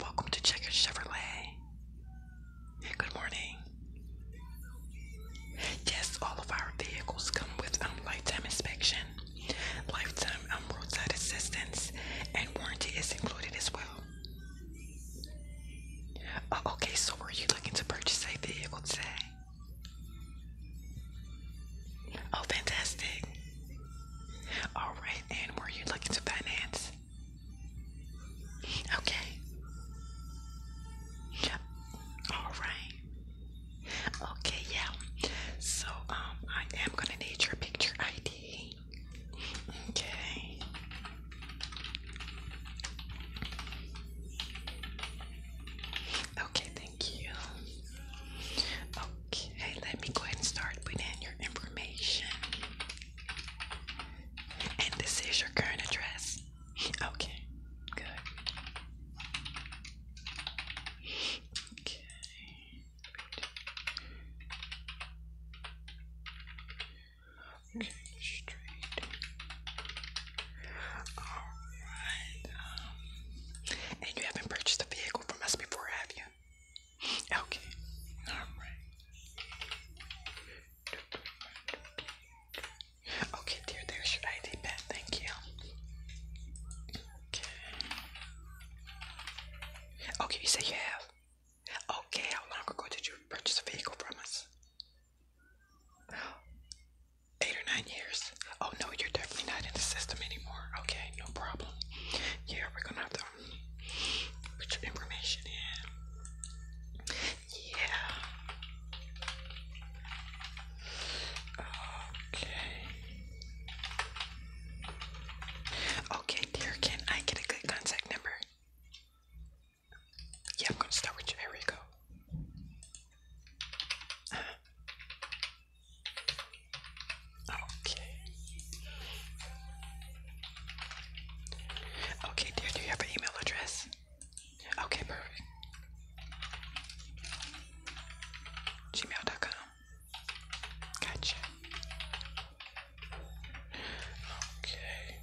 Welcome to Checker Chevrolet. Good morning. Yes, all of our vehicles come with um, lifetime inspection, lifetime um, roadside assistance, and warranty is included as well. Oh, okay, so were you looking to purchase a vehicle today? Oh, fantastic. All right, and were you looking to finance? Okay. All right. Okay, yeah. So, um, I am gonna need your picture ID. Okay. Okay, thank you. Okay, let me go ahead and start putting in your information. And this is your current address. Okay, good. Okay. Okay, straight. Alright. Um, and you haven't purchased a vehicle from us before, have you? Okay. All right. Okay, dear, there's your ID pad. Thank you. Okay. Okay, you say you have. Okay, how long ago did you purchase a vehicle from us? Eight or nine years. Oh no, you're definitely not in the system anymore. Okay, no problem. Yeah, we're gonna have to um, put your information in. Yeah. Okay. Okay, dear, can I get a good contact number? Yeah, I'm gonna start with your Okay. Okay, dear, do you have an email address? Okay, perfect. Gmail.com. Gotcha. Okay.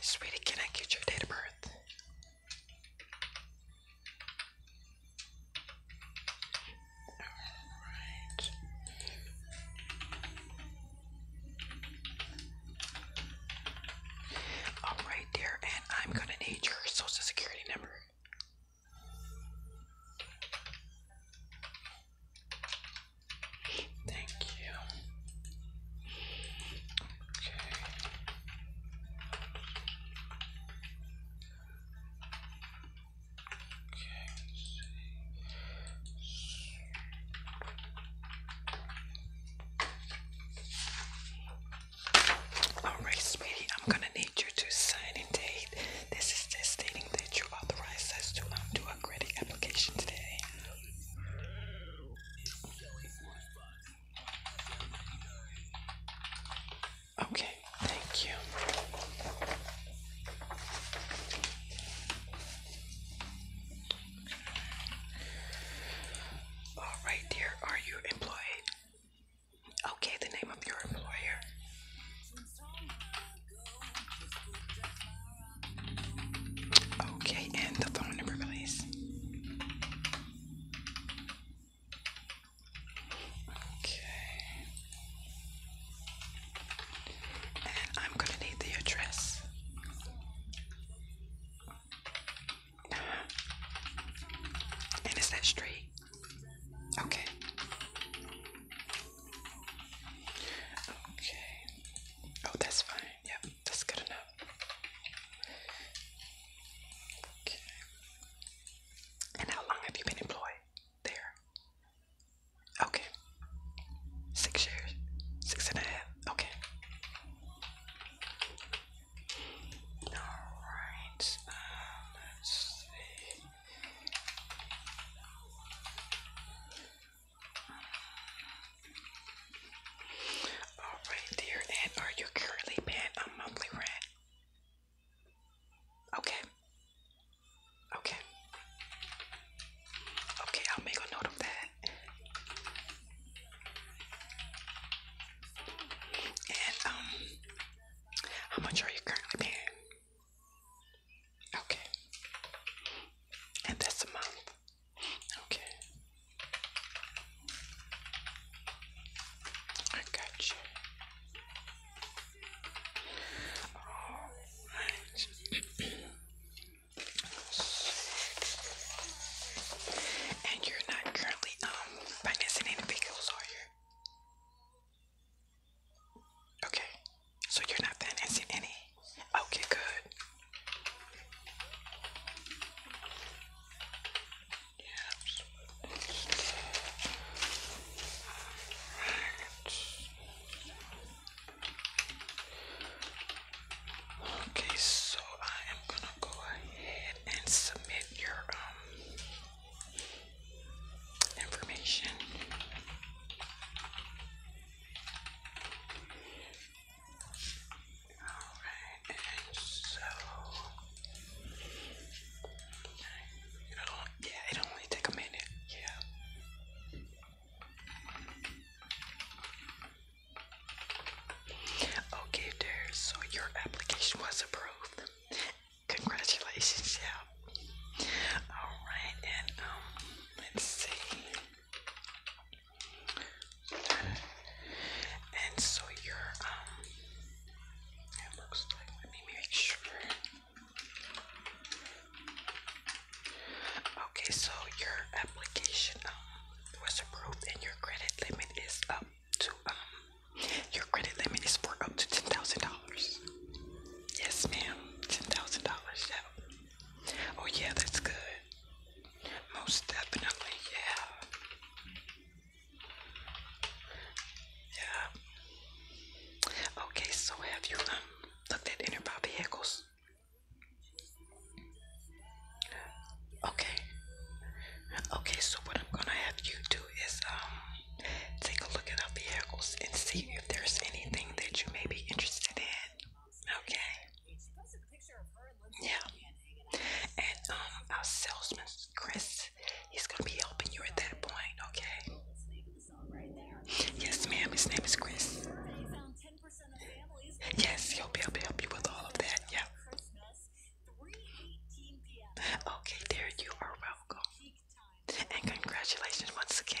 Sweetie, can I get your date of birth? Alright. Alright, dear, and I'm gonna need your social security number. Thank you. Alright, sweetie, I'm gonna need you to sign and date. This is just stating that you authorized us to do a credit application today. Okay, thank you. All right, dear, are you employed? Okay, the name of your employer. Okay, and the phone number, please. Okay. And I'm going to need the address. Uh-huh. And is that straight? Okay. Okay. Oh, that's fine. Yep that's good enough. Okay. And how long have you been employed there? Okay. Six years. Six and a half. Okay. Alright. Um, let's see. Alright, dear, and are you currently paying a monthly rent? Okay. Okay. Okay, I'll make a note of that. And, um, how much are you currently paying? Okay. And that's a month. Okay. I got you. All right. and you're not currently um financing any vehicles, are you? Okay. So you're not financing any Okay, good. Yes. Okay, so I am gonna go ahead and submit your um information. Alright, and so yeah, it only take a minute, yeah. Okay, there. So your application was approved. Congratulations, yeah. All right, and um, let's see. And so your um, it looks like. Let me make sure. Okay, so your application um, was approved, and your credit limit is up to um, your credit limit is for up to ten thousand dollars. Yes, ma'am, ten thousand dollars. Yeah. Oh yeah, that's good. Most definitely, yeah. Yeah. Okay, so have you um, looked at inner Bobby vehicles? Okay. Okay, so what I'm gonna have you do is um take a look at our vehicles and see if there's anything that you may be interested in. Okay. Yeah. And um, our salesman, Chris, he's gonna be helping you at that point. Okay. Yes, ma'am. His name is Chris. Yes, he'll be able to help you with all of that. Yeah. Okay, there you are welcome. And congratulations once again.